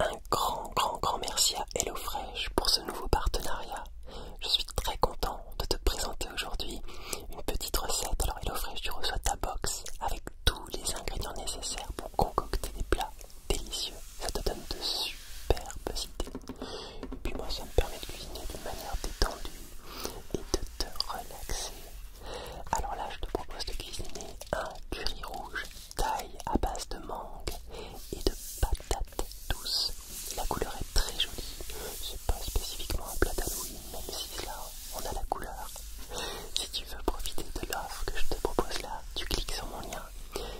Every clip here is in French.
Un grand, grand, grand merci à HelloFresh pour ce nouveau partenariat. Je suis très content de te présenter aujourd'hui une petite recette. Alors HelloFresh, tu reçois ta box avec tous les ingrédients nécessaires pour concocter des plats délicieux. Ça te donne de superbes idées. Et puis moi, ça me permet de cuisiner d'une manière détendue et de te relaxer. Alors là, je te propose de cuisiner un curry rouge taille à base de mangue et de patates douces. La couleur est très jolie, c'est pas spécifiquement un plat louis, même si là on a la couleur. Si tu veux profiter de l'offre que je te propose là, tu cliques sur mon lien,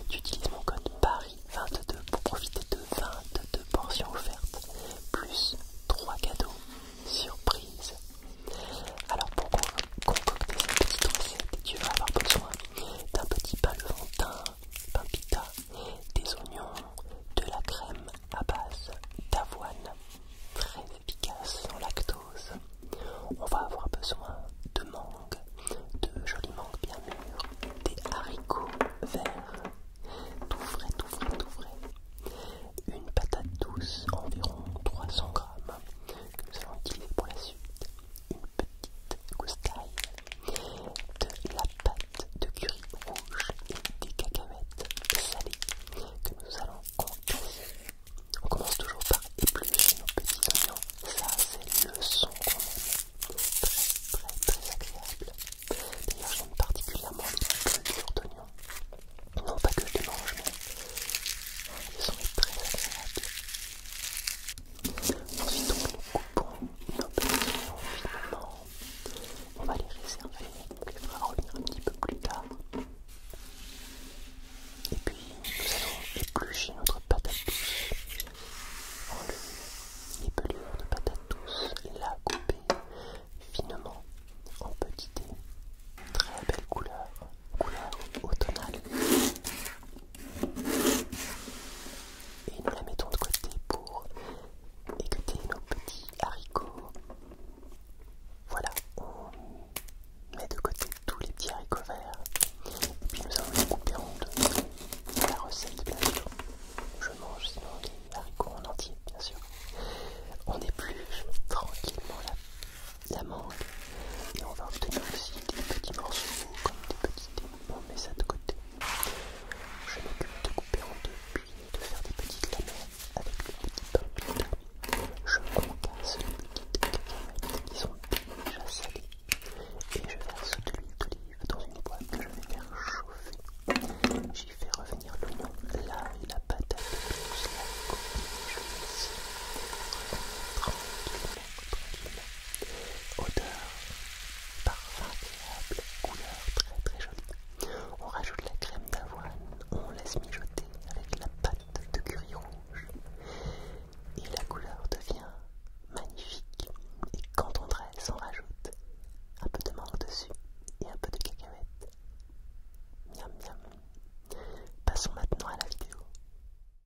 tu utilises mon code PARIS22 pour profiter de 22 pensions offertes, plus 3 cadeaux surprise. Alors pourquoi concocter cette petite recette, tu vas avoir besoin d'un petit pain pain pita, des oignons, de la crème à base d'avoine, très efficace en lactose. On va avoir besoin de mangue, de jolies mangues bien mûres, des haricots verts, tout frais, tout frais, tout frais, une patate douce, environ 300 grammes, que nous allons utiliser pour la suite, une petite goussaille de la pâte de curry rouge et des cacahuètes salées que nous allons contasser. On commence toujours par éplucher nos petits oignons, ça c'est le son qu'on aime, très très très agréable. D'ailleurs j'aime particulièrement les pelures d'oignon, non pas que je les mange mais ils sont très agréable Ensuite, on nous coupons nos petits oignons finement. On va les réserver, on les fera revenir un petit peu plus tard. Et puis, nous allons éplucher notre patate douce en Les pelures de patate douce, la couper finement en petit dés. Très belle couleur, couleur automnale. Et nous la mettons de côté pour écouter nos petits haricots. Voilà, on met de côté tous les petits haricots verts. Et puis nous allons les couper en deux. La recette, bien sûr. Je mange sinon les haricots en entier, bien sûr. On plus tranquillement là la mangue et on va obtenir aussi des petits morceaux comme des petits dés. On met ça de côté. Je m'occupe de couper en deux puis de faire des petites lamelles avec le petit pain. Je concasse les des cacahuètes qui sont déjà salées et je verse de l'huile d'olive dans une boîte que je vais faire chauffer. J'y fais revenir l'oignon, l'ail, la patate, la coquille, je vais tranquillement Odeur parfum agréable, couleur très très jolie. On rajoute la crème d'avoine, on laisse mijoter avec la pâte de curry rouge et la couleur devient magnifique. Et quand on dresse, on rajoute un peu de mangue dessus et un peu de cacahuètes. Miam miam. Passons maintenant à la vidéo.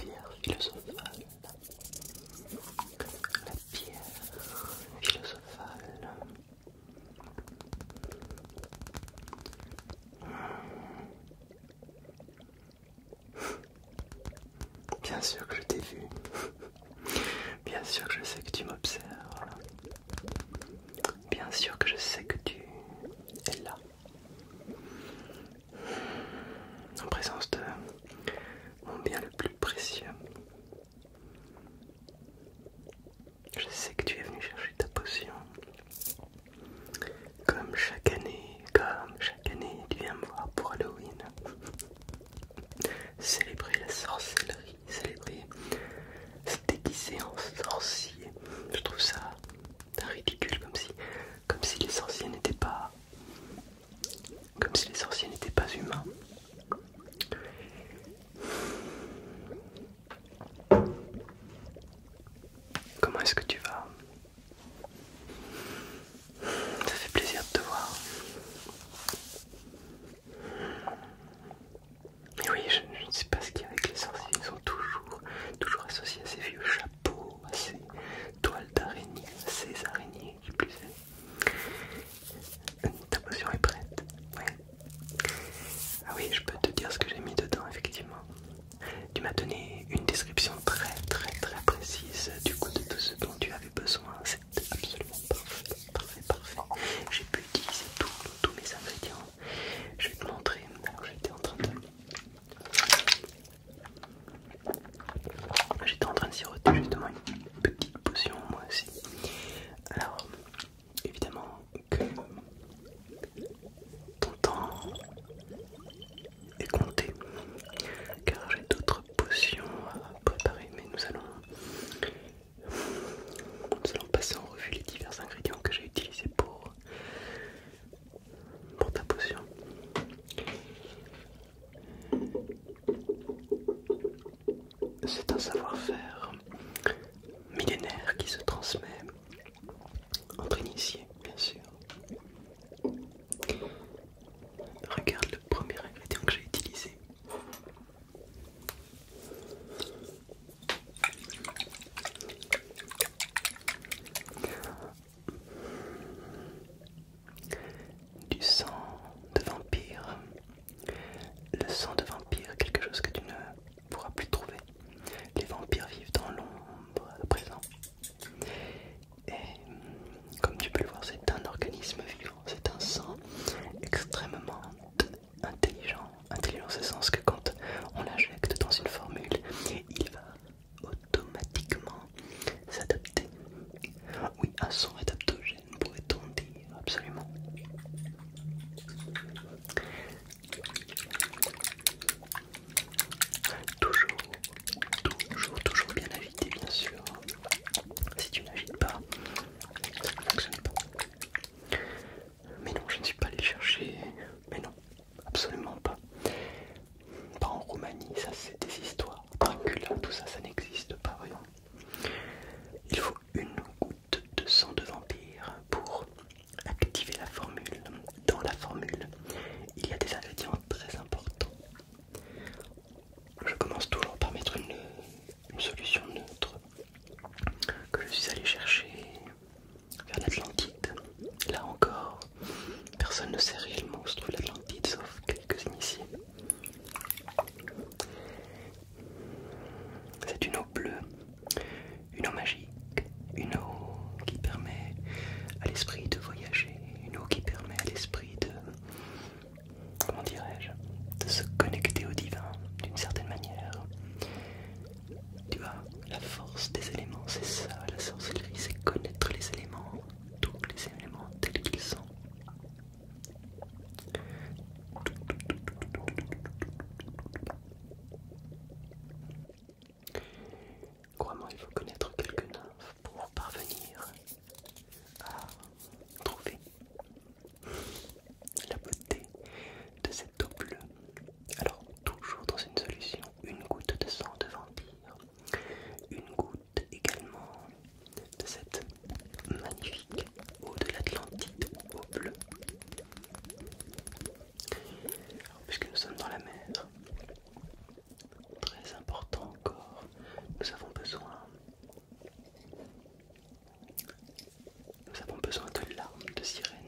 Pierre philosophale. La pierre philosophale. Bien sûr que je t'ai vu. Bien sûr que je sais que tu m'observes. Bien sûr que je sais que tu es là en présence de mon bien le plus précieux. Je sais que tu es venu chercher ta potion. Comme chaque année, comme chaque année, tu viens me voir pour Halloween. Célébrer la sorcellerie, célébrer se déguiser en sorcier. Je trouve ça c'est ridicule, comme si, comme si les sorciers n'étaient pas, comme si les sorciers n'étaient pas humains. Comment est-ce que tu vas Ça fait plaisir de te voir. oui, je, je ne sais pas ce qu'il y a avec les sorciers, ils sont toujours toujours, associé à ces vieux chapeaux, à ses toiles d'araignée, à ses araignées qui plus est. Ta potion est prête Ah oui, je peux te dire ce que j'ai mis dedans, effectivement. Tu m'as donné une description très très très précise du coup de tout ce dont tu avais besoin. C'est absolument parfait, parfait. J'ai pu utiliser tous mes ingrédients. Je vais te montrer. Alors j'étais en train de J'étais en train de siroter justement une petite potion moi aussi. Alors, évidemment que ton temps est compté car j'ai d'autres potions à préparer mais nous allons nous allons passer en revue les divers ingrédients que j'ai utilisés pour pour ta potion. C'est un savoir-faire millénaire qui se transmet entre initiés, bien sûr. Regarde le premier ingrédient que j'ai utilisé. Du sang de vampire. Le sang de vampire, quelque chose que tu ne pourras plus trouver. Les vampires vivent dans l'ombre à présent. Et comme tu peux le voir, c'est un organisme vivant, c'est un sang extrêmement intelligent. Intelligent, c'est sens que quand on la dans une formule, il va automatiquement s'adapter. Oui, un son adaptogène, pourrait-on dire, absolument. Toujours, toujours, toujours bien agité, bien sûr. Si tu n'agites pas, ça ne fonctionne pas. Mais non, je ne suis pas allé chercher mais non, absolument pas. Pas en Roumanie, ça c'est des histoires. Dracula, tout ça, ça n'existe pas vraiment. Il faut une goutte de sang de vampire pour activer la formule. Dans la formule, il y a des ingrédients très importants. Je commence toujours par mettre une, une solution neutre que je suis allé chercher vers l'Atlantide. Là encore, personne ne sait réellement où se trouve l'Atlantide, sauf quelques initiés. C'est une eau bleue, une eau magique, une eau qui permet à l'esprit de voyager, une eau qui permet à l'esprit de... comment dirais-je De se connecter au divin d'une certaine manière. Tu vois, la force des éléments, c'est ça, la sorcellerie, c'est connaître les éléments, tous les éléments tels qu'ils sont. Crois-moi, il faut connaître quelques nymphes pour parvenir à trouver la beauté de cette double. Alors, toujours dans une solution, une goutte de sang de vampire, une goutte également de cette magnifique eau de l'Atlantide au bleu. puisque nous sommes dans la mer, très important encore, nous avons besoin nous avons besoin de larmes de sirène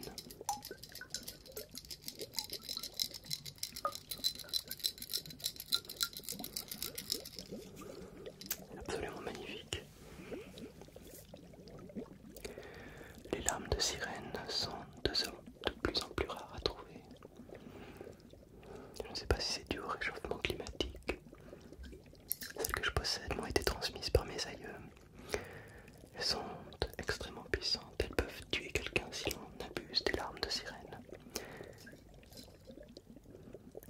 Absolument magnifique. Les larmes de sirène sont de, de plus en plus rares à trouver. Je ne sais pas si c'est dû au réchauffement climatique. Celles que je possède m'ont été transmises par mes aïeux elles sont extrêmement puissantes, elles peuvent tuer quelqu'un si l'on abuse des larmes de sirène.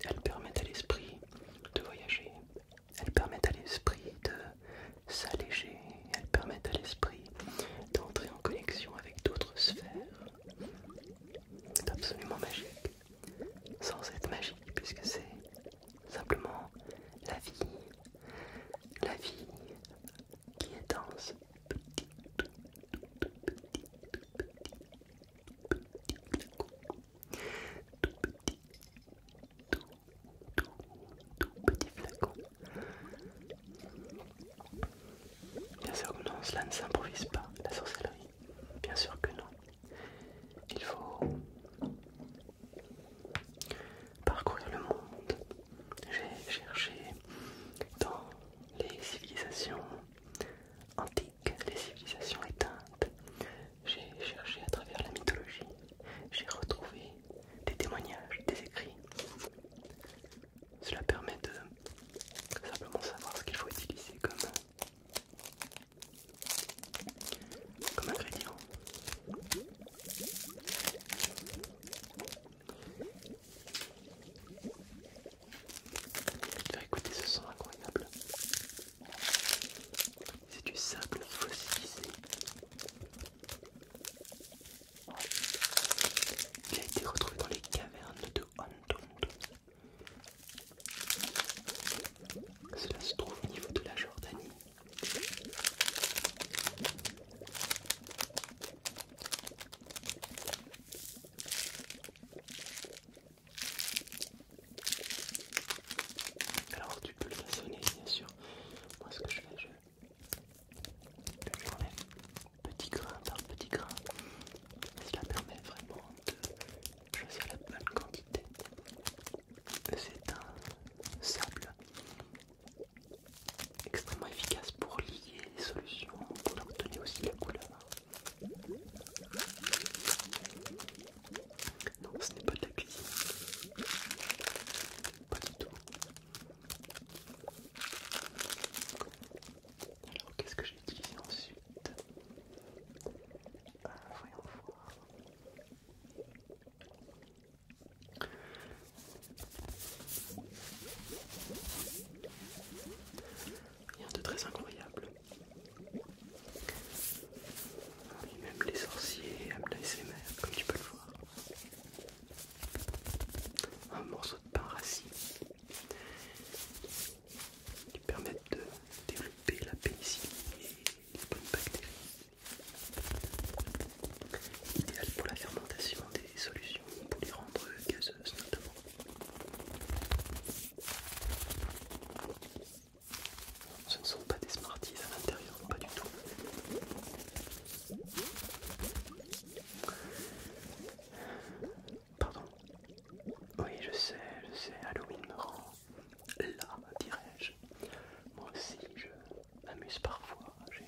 Elles permettent à l'esprit de voyager, elles permettent à l'esprit de s'alléger, elles permettent à l'esprit d'entrer en connexion avec d'autres sphères. C'est absolument magique, sans être magique puisque c'est simplement la vie. La vie qui est dense tout, petit, flacon. Bien sûr que non, cela ne s'improvise pas, la sorcellerie. Bien sûr que non. Il faut parcourir le monde. J'ai cherché dans les civilisations antiques, les civilisations éteintes. J'ai cherché à travers la mythologie. J'ai retrouvé des témoignages, des écrits. Cela permet de simplement savoir ce qu'il faut utiliser comme, comme ingrédient. Faire écouter ce son incroyable. C'est du sable fossilisé. qui a été retrouvé dans les cavernes de Hontonto. Cela se trouve au niveau de la Jordanie alors tu peux le façonner bien sûr. Moi ce que je fais, je, je petit grain par petit grain. cela permet vraiment de choisir la bonne quantité. C'est un sable extrêmement efficace pour lier les solutions, pour leur donner aussi la couleur. Non, ce n'est pas de la Pas du tout. Alors, qu'est-ce que j'ai utilisé ensuite euh, Voyons voir. Rien de très incroyable. Ah, même les sorciers aiment mères, comme tu peux le voir. Un morceau de pain racine qui permet de développer la pénicilline et les bonnes bactéries. Idéal pour la fermentation des solutions pour les rendre gazeuses notamment. Ce ne sont pas des Smarties à l'intérieur, pas du tout. Pardon. Oui, je sais, je sais, Halloween me rend là, dirais-je. Moi aussi, je, m'amuse parfois, j'ai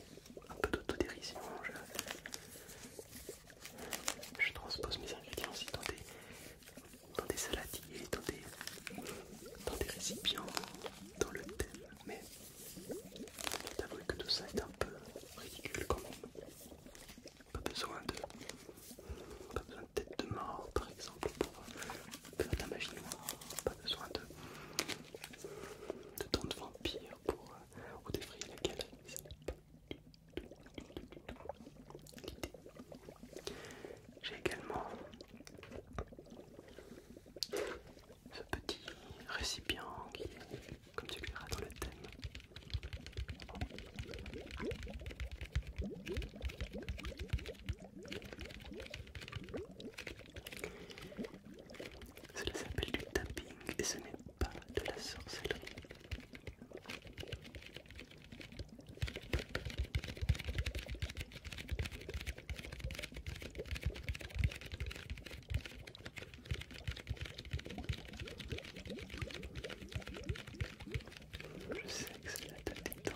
un peu d'autodérision, je, je transpose mes ingrédients aussi dans des, saladiers, dans des, récipients, dans le thème, mais t'avoues que tout ça est un peu ridicule quand même. Pas besoin de, pas besoin de tête de mort par exemple faire être pas besoin de, de de vampire pour ou défrayer la l'idée. J'ai également ce petit récipient qui est comme tu le verras dans le thème. Cela s'appelle du tapping et ce n'est pas de la sorcellerie. Je sais que c'est la tête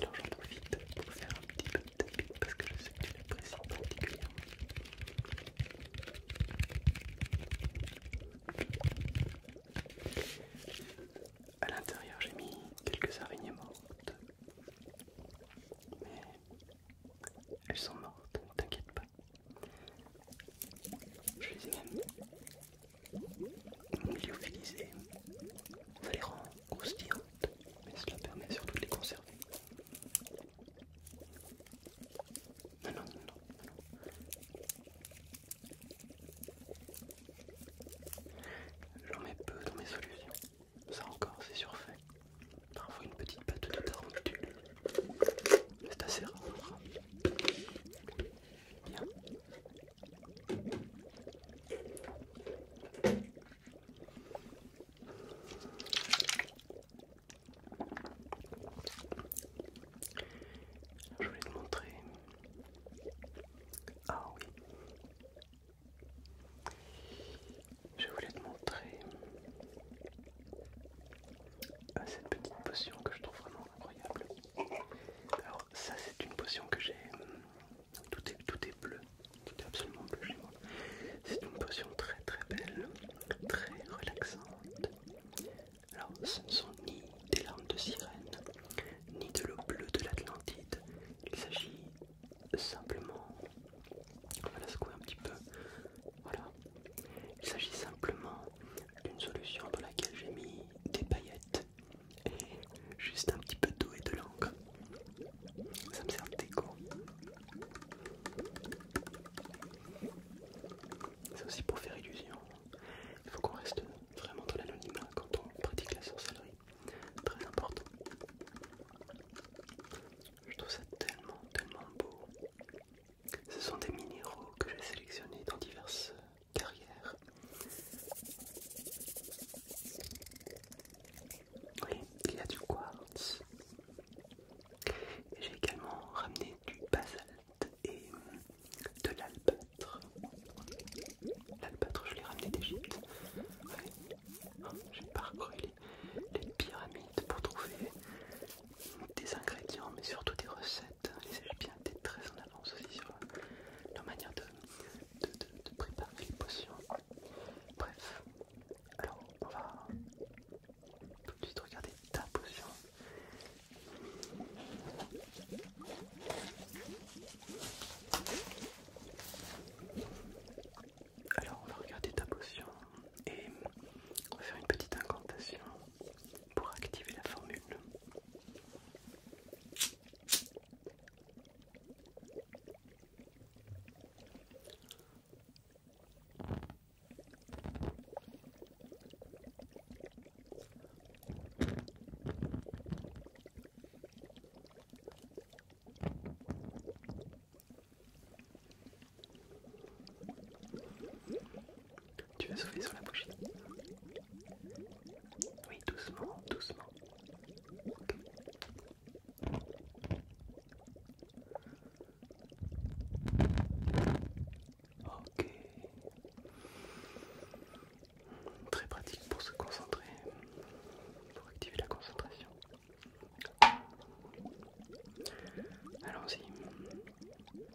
alors j'en profite pour faire un petit peu de parce que je sais que tu l'apprécies particulièrement. À l'intérieur, j'ai mis quelques araignées mortes, mais elles sont mortes, ne t'inquiète pas. Je les ai même lyophilisées. Ça les rend croustillantes, mais cela permet surtout de les conserver. Non, non, non, non. J'en mets peu dans mes solutions. Ça encore, c'est surfait. Parfois une petite pâte de tarentule c'est assez rare. Bien. Je voulais te montrer. Ah oui. Je voulais te montrer à ah, cette petite potion que je trouve vraiment incroyable. Alors ça c'est une potion que j'ai... Hum, tout est, tout est bleu, tout est absolument bleu chez moi. C'est une potion très très belle, très relaxante. Alors ce ne sont ni des larmes de sirène, ni de l'eau bleue de l'Atlantide. Il s'agit simplement... On va la secouer un petit peu. Voilà, il s'agit simplement d'une solution dans laquelle j'ai mis des paillettes et juste un petit peu d'eau et de l'encre. Ça me sert de déco. C'est aussi pour faire illusion. Il faut qu'on reste vraiment dans l'anonymat quand on pratique la sorcellerie. Très important. Je trouve ça tellement, tellement beau. Ce sont des minéraux que j'ai sélectionnés dans diverses carrières. Oui, il y a du quartz. J'ai également ramené du basalte et de l'albâtre. L'albâtre, je l'ai ramené d'Égypte. Oh, j'ai parcouru les pyramides pour trouver des ingrédients mais surtout des recettes. Les bien d'être très en avance aussi sur leur manière de, préparer les potions. Bref, alors on va tout de suite regarder ta potion. Alors on va regarder ta potion et on va faire une petite incantation pour activer la formule. Tu veux souffler sur la bougie Oui, doucement, doucement. ok. Très pratique pour se concentrer, pour activer la concentration. Allons-y.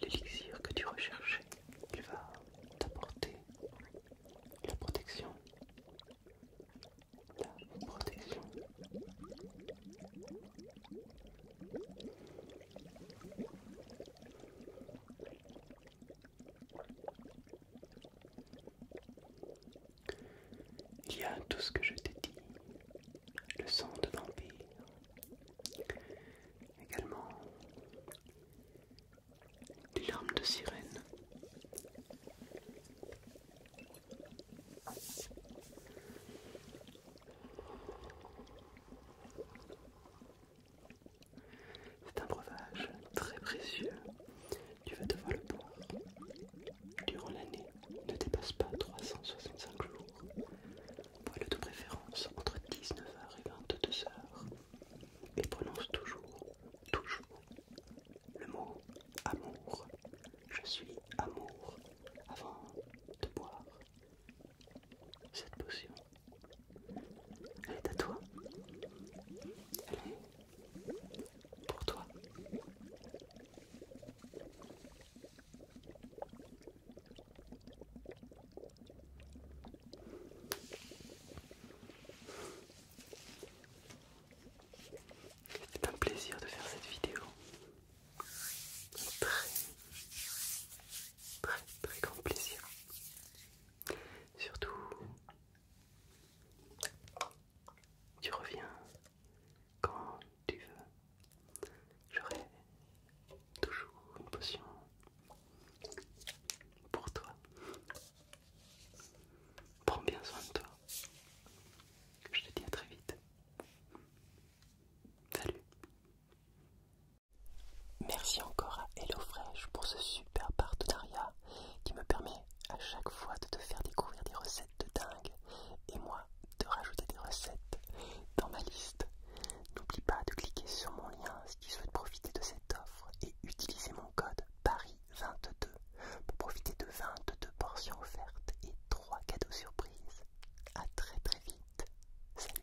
L'élixir que tu recherches il va t'apporter la protection, la protection. Il y a tout ce que je t'ai dit, le sang de vampire, également les larmes de sirène. C'est un breuvage très précieux. Tu vas devoir le boire. Durant l'année, ne dépasse pas 365 jours. Bois-le de préférence entre 19h et 22h. Il prononce toujours, toujours le mot amour. Je suis amour avant de boire cette potion. Elle est à toi. Elle est pour toi. C'est un plaisir de faire cette vidéo. très, très, très grand plaisir. Surtout, tu reviens quand tu veux. J'aurai toujours une potion pour toi. Prends bien soin de toi. Je te dis à très vite. Salut. Merci encore à HelloFresh pour ce super partenariat qui me permet à chaque fois de te faire découvrir des recettes de dingue et moi de rajouter des recettes dans ma liste. N'oublie pas de cliquer sur mon lien qui souhaite profiter de cette offre et utiliser mon code PARIS22 pour profiter de 22 portions offertes et 3 cadeaux surprises. A très très vite. Salut